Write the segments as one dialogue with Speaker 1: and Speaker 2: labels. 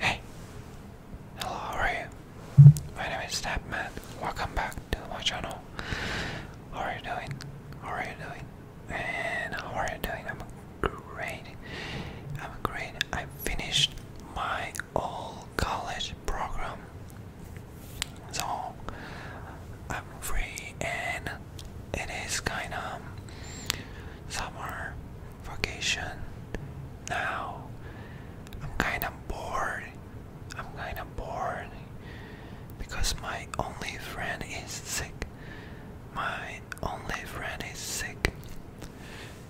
Speaker 1: Hey, hello, how are you? My name is Snapman. Welcome back to my channel. How are you doing? How are you doing? And how are you doing? I'm great. I'm great. I finished my all college program. So I'm free and it is kind of summer vacation now. I'm kind of bored. I'm kind of bored because my only friend is sick. My only friend is sick.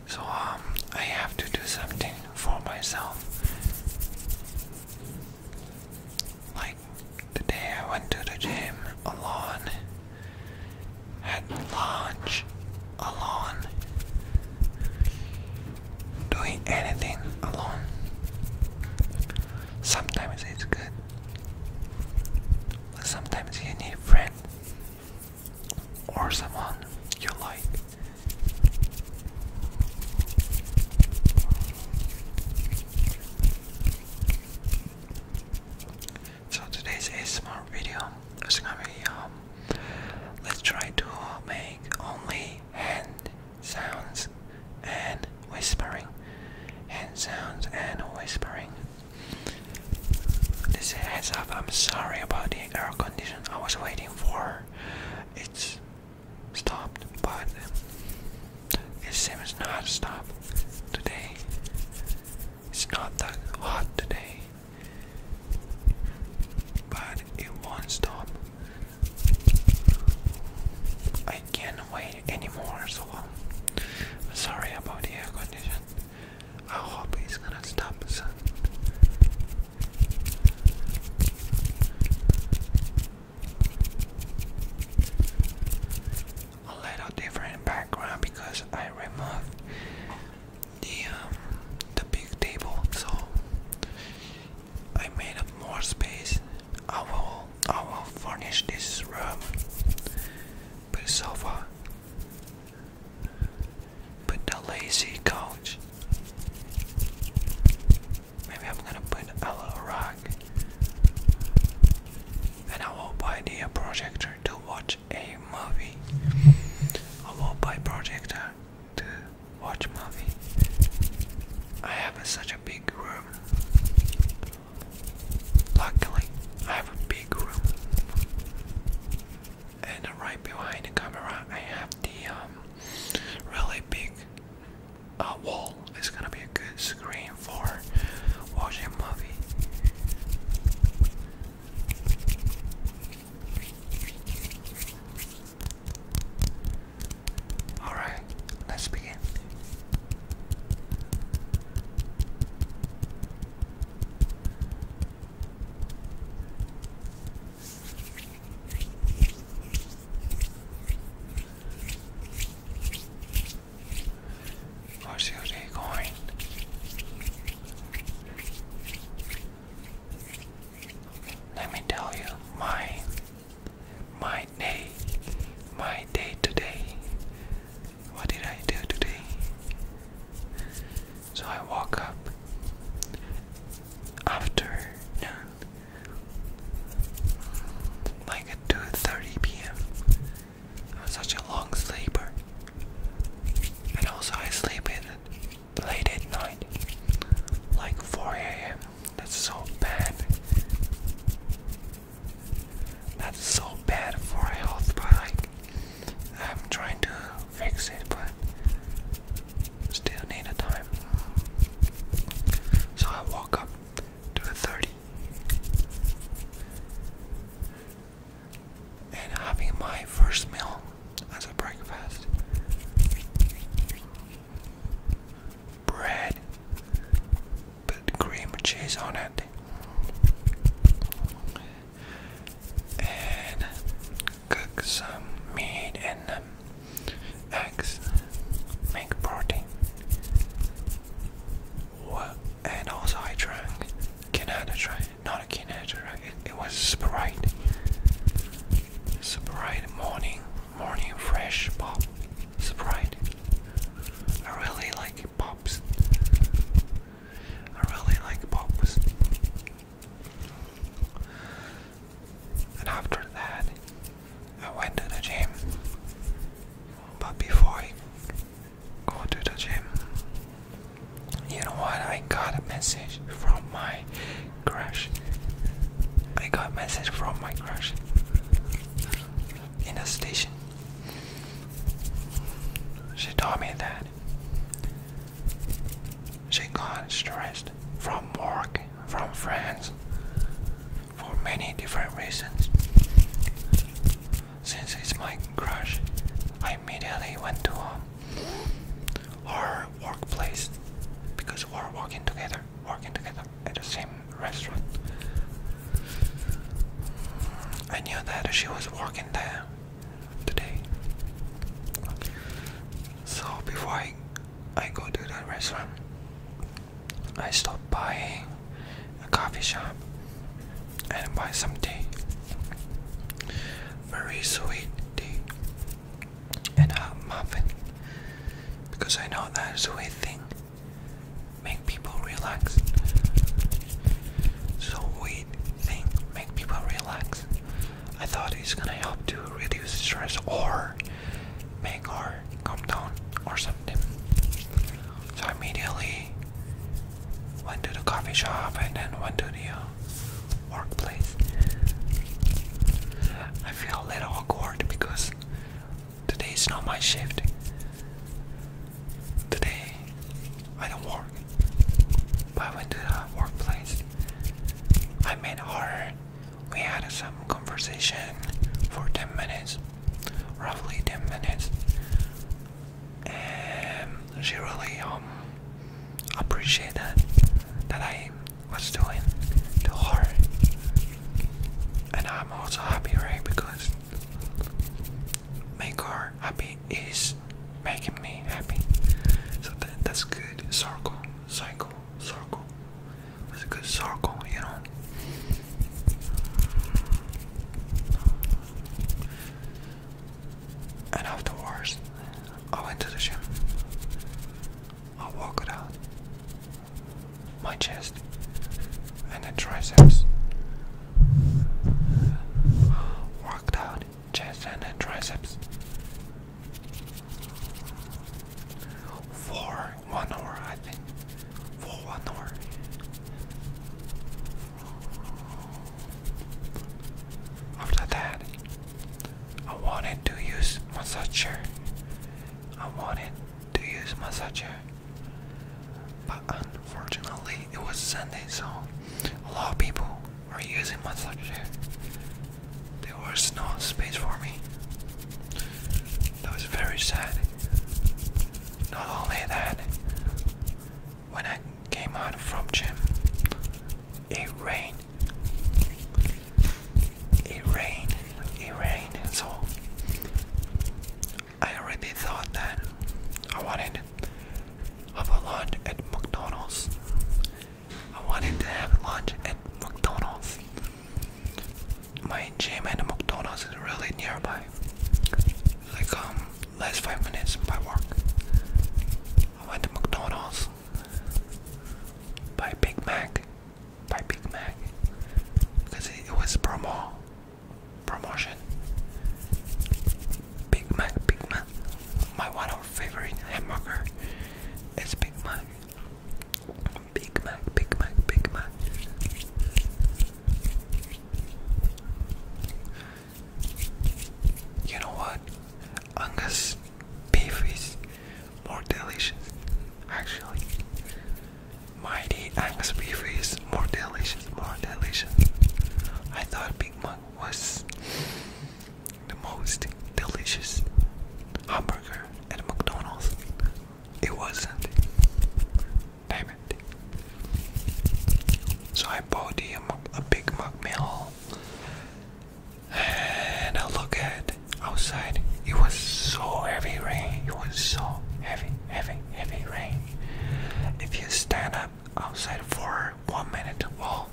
Speaker 1: So um, I have to do something for myself. Like today, I went to the gym alone, had lunch alone, doing anything alone. Sometimes it's good, but sometimes you need a friend or someone you like. So today's ASMR video is gonna be um, let's try to make only hand sounds and whispering, hand sounds and whispering. This heads up, I'm sorry about the air condition I was waiting for. It's stopped by It seems not to stop today. It's not that hot today, but it won't stop. I can't wait anymore so um, Sorry about the air conditioner. I hope it's gonna stop soon a little different background because I removed the um, the big table, so I made up more space. I will I will furnish this room with sofa put the lazy couch. Maybe I'm gonna put a little rug. And I will buy the projector to watch a movie. I will buy projector to watch movie. I have such a big room. Luckily, I have a big room. And right behind the camera, I have the um, really big uh, wall is gonna be a good screen for watching a movie. Alright, let's begin. Where's your day going? Let me tell you, my my day, my day today. What did I do today? So I woke up after like at 2.30 p.m. I'm such a long sleeper. And also I sleep in late at night, like 4 a.m. That's so bad. That's so bad for health, but like I'm trying to fix it, but still need a time. So I walk up to the 30. And having my first meal as a breakfast bread, put cream cheese on it, and cook some meat and um, eggs, make protein. What? And also I drank Canada Dry, not a Canada Dry, it, it was Sprite. Sprite morning, morning fresh pop. Sprite. I really like pops. I really like pops. And after that, I went to the gym. But before I go to the gym, you know what? I got a message from my crush. I got a message from my crush in the station. She told me that she got stressed from work from France for many different reasons. Since it's my crush, I immediately went to um, her workplace because we're working together, working together at the same restaurant. I knew that she was working there today. So before I I go to the restaurant. I stop by a coffee shop and buy some tea. Very sweet tea and a muffin because I know that sweet thing make people relax. Sweet thing make people relax. I thought it's gonna help to reduce stress or make her calm down or something. So I immediately went to the coffee shop and then went to the uh, workplace. I feel a little awkward because today is not my shift. Today I don't work. But I went to the workplace. I met her we had some conversation for 10 minutes, roughly 10 minutes, and she really um, appreciated that, I was doing to her. And I'm also happy, right? Because make her happy is making me happy. So that, that's good. Circle, cycle, circle. It's a good circle, you know. And afterwards, I went to the gym. I walked out. My chest and the triceps. Worked out chest and the triceps. For one hour, I think. For one hour. After that, I wanted to use massager. I wanted to use massager, but unfortunately, it was Sunday, so a lot of people were using massage chair there was no space for me. That was very sad. Not only that, when I came out from gym, it rained. It rained. It rained. So I already thought that I wanted have a lunch at McDonald's, I wanted to have lunch at McDonald's. My gym and McDonald's is really nearby. Like um less five minutes by walk. I went to McDonald's. Buy Big Mac. Buy Big Mac. Because it was promo promotion. Big Mac, Big Mac. My one of favorite hamburger is Big Mac. Big Mac, Big Mac, Big Mac. You know what? Angus beef is more delicious, actually. Mighty Angus beef is more delicious, more delicious. I thought Big Mac was the most delicious hamburger at McDonald's. It wasn't. Damn it. So I bought the, um, a, Big Mac And I look at outside. It was so heavy rain. It was so heavy, heavy, heavy rain. If you stand up outside for one minute, well,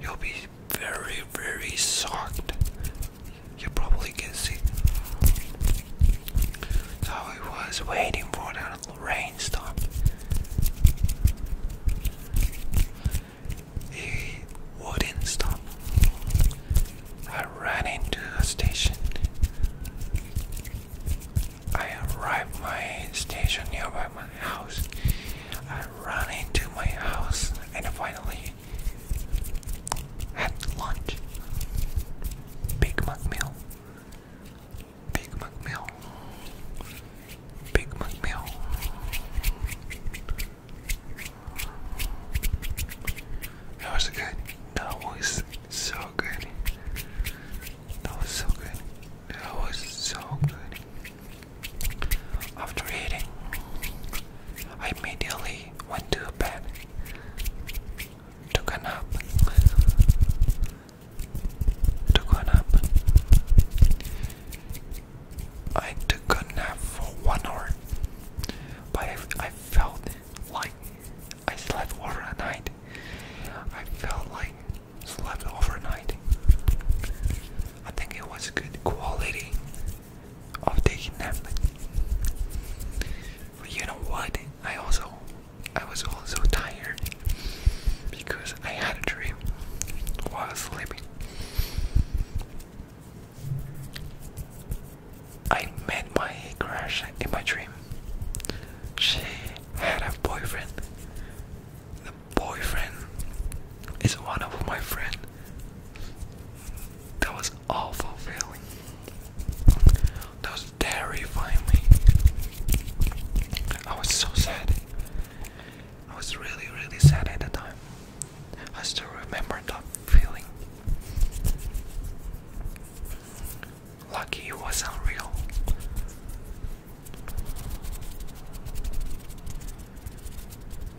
Speaker 1: you'll be very, very soft. You probably can see. So I was waiting for that rainstorm. It wouldn't stop. I ran into a station. I arrived my station nearby my house. I ran into my house and finally had lunch. Big Mac meal. Big Mac meal. Big Mac meal. That was good. That was so good. That was so good. That was so good. After eating, I immediately went to bed, took a nap, took a nap. I took a nap for one hour, but I, felt like I slept night. I felt like slept overnight. I think it was good quality of taking Netflix. But you know what? I also I was also tired because I had a dream while sleeping. I met my crush in my dream. She had a boyfriend. The boyfriend is one of my friends that was awful feeling. That was terrifying I was so sad. I was really, really sad at the time. I still remember that feeling. Lucky it wasn't real.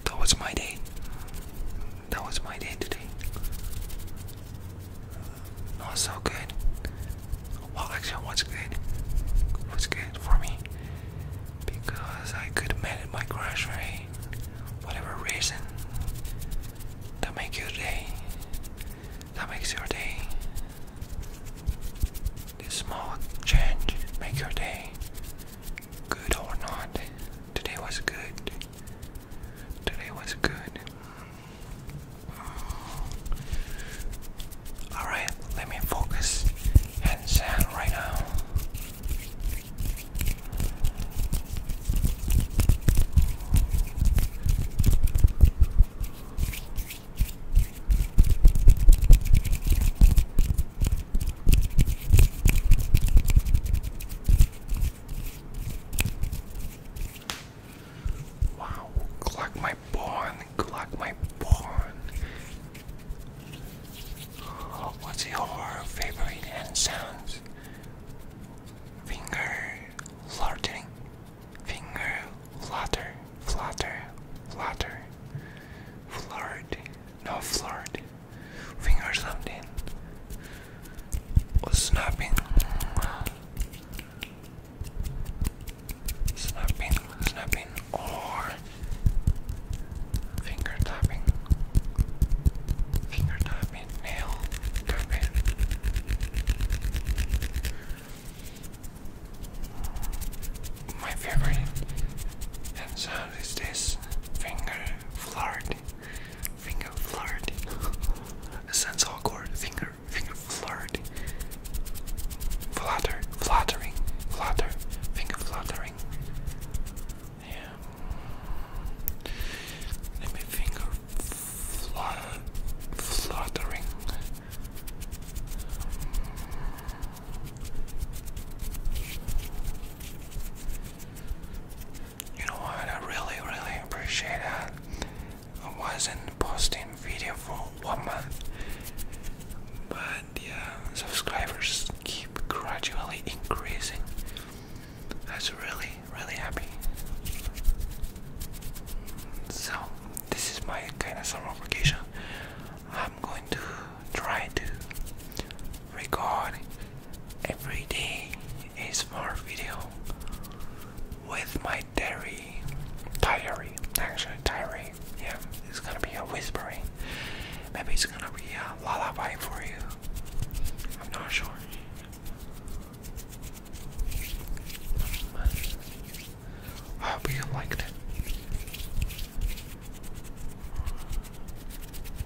Speaker 1: That was my day that was my day today. Not so good. Well, actually, what's good? What's good for me? Because I could meet my crush for whatever reason that makes your day. That makes your day. This small change make your day, good or not. Today was good. Today was good. Alright, let me focus and sound right now. Wow, Glock my born, Glock my born. What's your favorite hand sounds? Finger flirting, finger flutter, flutter, flutter, flirt, no flirt, finger something was snapping, snapping, snapping, or finger tapping, finger tapping, nail tapping. My favorite hand sound is this finger flirt. Finger flirt. it sounds awkward. Finger, finger flirt. Flutter, fluttering, flutter, finger fluttering. Yeah. Let me finger flutter, fluttering. You know what? I really, really appreciate that. I wasn't posting video for one month, but yeah, subscribers keep gradually increasing. That's really, really happy. So, this is my kind of summer vacation. I'm going to try to record every day a small video with my diary diary actually diary yeah it's gonna be a whispering maybe it's gonna be a lullaby for you I'm not sure I hope you liked it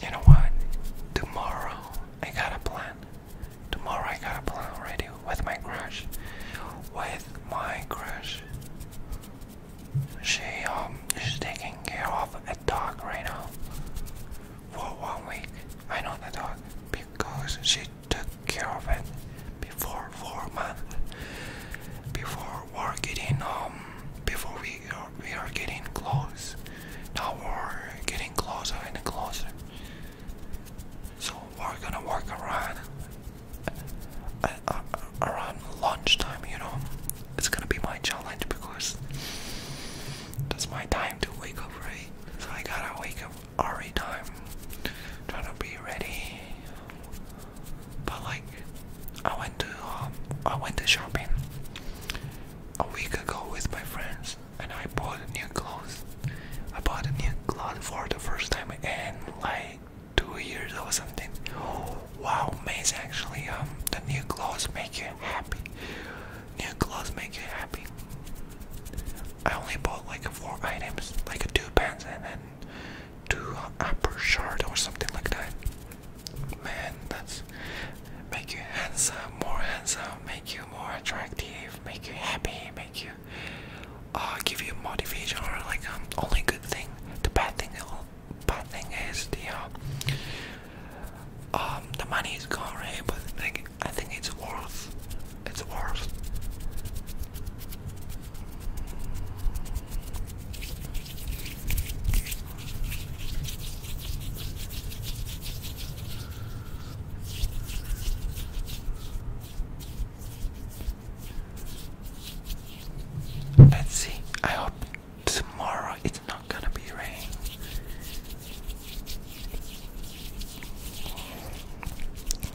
Speaker 1: You know what? Tomorrow I got a plan. Tomorrow I got a plan already with my crush. With my crush. She um she's taking care of a dog right now for one week. I know the dog because she took care of it before for a month. Before we're getting um before we we are getting close. Now we're getting closer and closer. So we're gonna work around uh, around lunchtime, you know, it's gonna be my challenge because that's my time to wake up, right? So I gotta wake up early time, trying to be ready. But like, I went to um, I went to shopping a week ago with my friends, and I bought new clothes. I bought a new clothes for the first time, and like two years or something. Wow, Maze actually, um, the new clothes make you happy. New clothes make you happy. I only bought like four items, like two pants and then two upper shirt or something like that. Man, that's make you handsome, more handsome, make you more attractive, make you happy, make you uh, give you motivation or like um, only good thing. The bad thing, bad thing is the uh, um the money is gone, right? But like I think it's worth, it's worth. Let's see. I hope tomorrow it's not gonna be raining.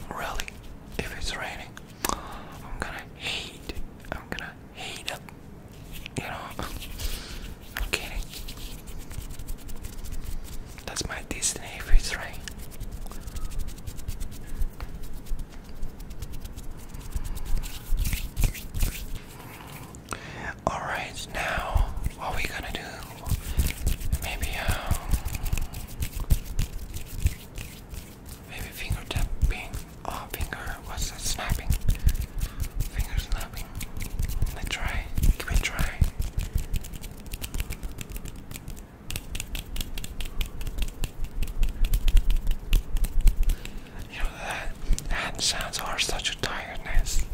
Speaker 1: Really, if it's raining, I'm gonna hate. I'm gonna hate You know, I'm kidding. That's my destiny if it's raining. All right, now what we gonna do? Maybe um, maybe finger tapping. Oh, finger. What's that? Snapping. Fingers snapping. Let's try. Give it a try. You know that hand sounds are such a tiredness.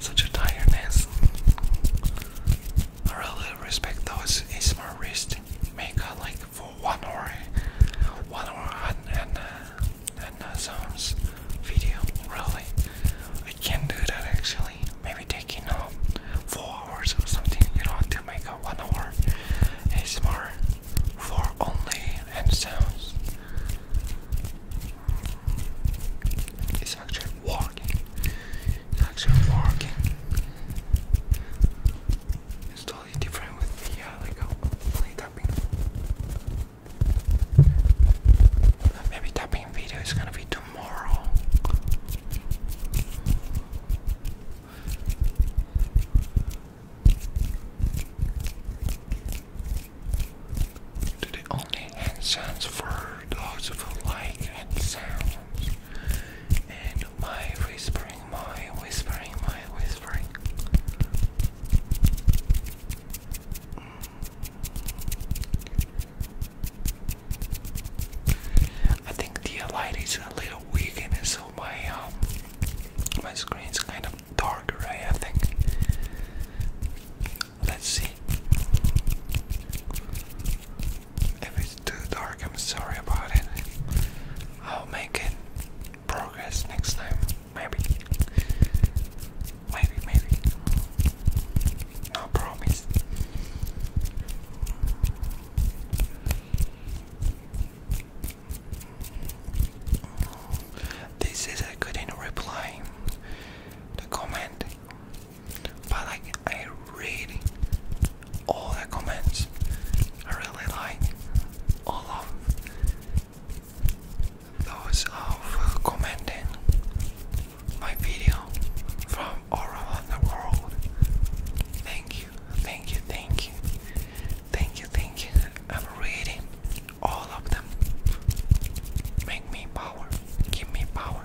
Speaker 1: Such a tiredness. I really respect those ASMR wrist makeup like for one hour one hour and and, uh, and uh, sounds video really. I can't do that actually. Maybe taking um four hours or something, you know, to make one hour ASMR for only hand sounds. It's actually working. It's actually working. It's totally different with me. uh, like uh, only tapping. Maybe tapping video is gonna be tomorrow. Do the only hand sounds for those who like sounds. And my whispering, my whispering, my whispering. Mm. I think the light is a little weak in this so know my um, my screen's kind of dark, right? Eh, I think. Let's see. If it's too dark, I'm sorry about it. I'll make it progress next time, maybe. Maybe, maybe. No promise. This is a good not reply the comment, but like I read all the comments. I really like all of those of commenting my video from all around the world. Thank you, thank you, thank you. Thank you, thank you. I'm reading all of them. Make me power. Give me power.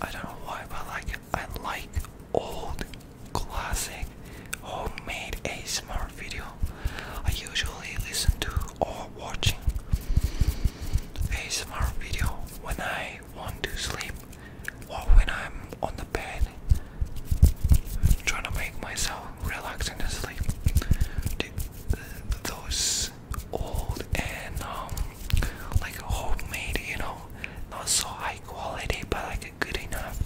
Speaker 1: I don't know why, but like I like old classic homemade ASMR video. I usually listen to or watching ASMR video when I want to sleep or when I'm on the bed trying to make myself relaxing to sleep. Those old and um, like homemade, you know, not so high quality, but like good enough.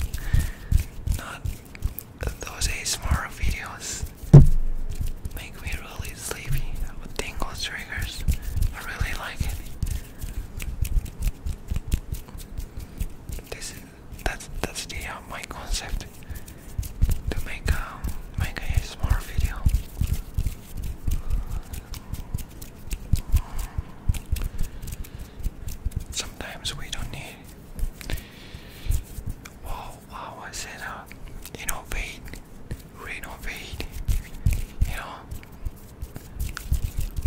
Speaker 1: those ASMR videos make me really sleepy with tingle triggers. I really like it. This is that's the uh, my concept to make um, make a ASMR video. Sometimes we don't need. Wow, wow, I said, uh, innovate, renovate, you know.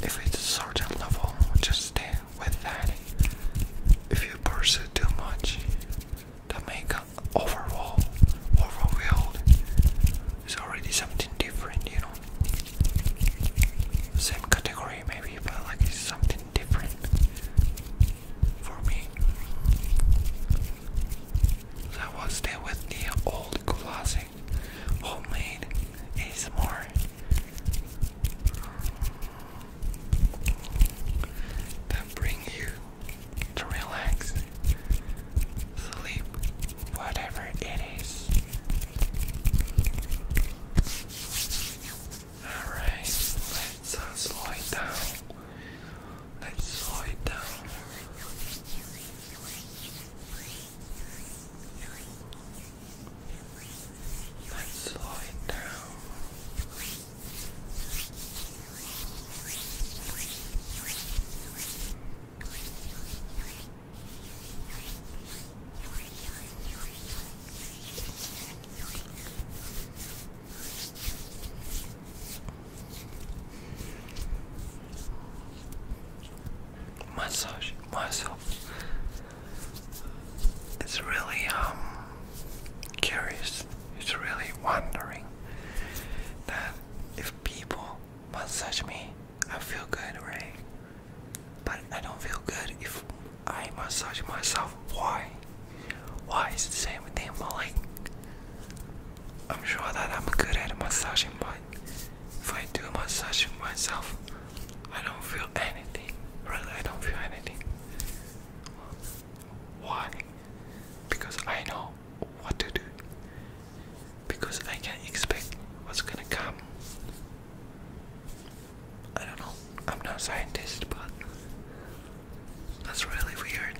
Speaker 1: If it's a certain level, just stay with that. If you pursue too much, that make overall overwhelmed it's already something different, you know. Same category, maybe, but like it's something different for me. So was there with the old classic homemade ASMR. That bring you to relax sleep, whatever it is. Alright, let's uh, slow it down. Let's slow it down. Let's slow it down. Massage myself. It's really um curious. It's really wondering that if people massage me I feel good, right? But I don't feel good if I massage myself. Why? Why is the same thing? Well, I'm sure that I'm good at massaging, but if I do massaging myself, I don't feel anything. Really, I don't feel anything. Why? Because I know what to do because I can't expect what's gonna come. I don't know. I'm not a scientist, but that's really weird.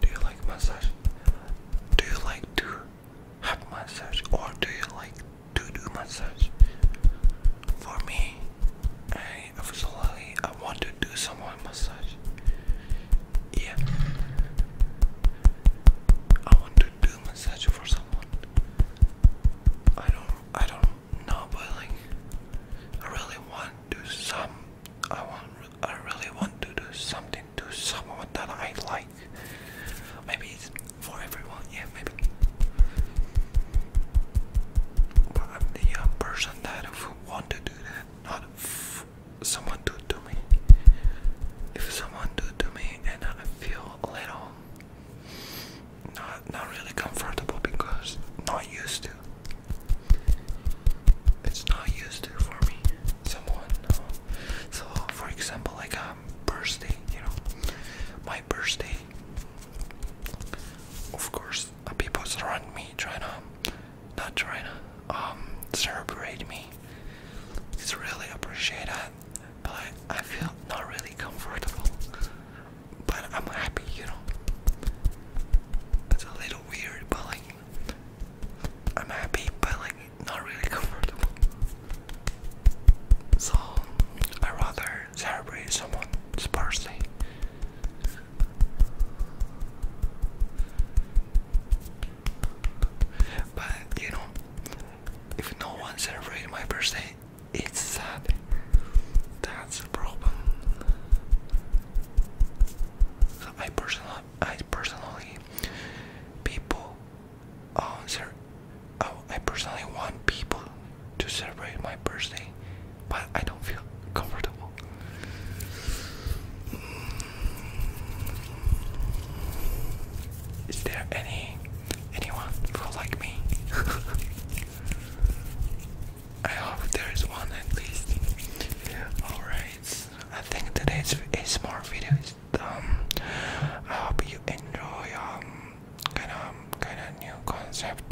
Speaker 1: Do you like massage? Do you like to have massage or do you like to do massage? For me, I absolutely I want to do someone massage. Yeah. I want to do massage for someone. I don't I don't know but I really want to some I want I really want to do something to someone that I like. Maybe it's for everyone, yeah, maybe. But I'm the uh, person that want to do that, not someone do to me. If someone do to me and I feel a little not not really comfortable because not used to it's not used there for me. Someone, no. Uh, so for example, like I'm um, birthday, you know, my birthday. Of course, uh, people surround me trying to, not trying to, um, celebrate me. It's really appreciated, but I, I feel not really comfortable. But I'm happy, you know. It's a little weird, but like I'm happy but like not really comfortable. So I rather celebrate someone's birthday. But you know, if no one celebrates my birthday, it's sad. That's a problem. So I personally I personally people uh, oh, I personally want people to celebrate my birthday, but I don't feel comfortable. Is there any anyone who like me? I hope there is one at least. All right. I think today's ASMR video is um I hope you enjoy um, kinda um, kinda new concept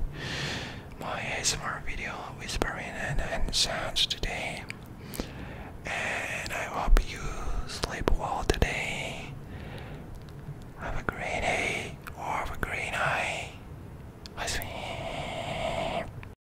Speaker 1: my ASMR video whispering and, and sounds today and I hope you sleep well today have a great day or have a great night I see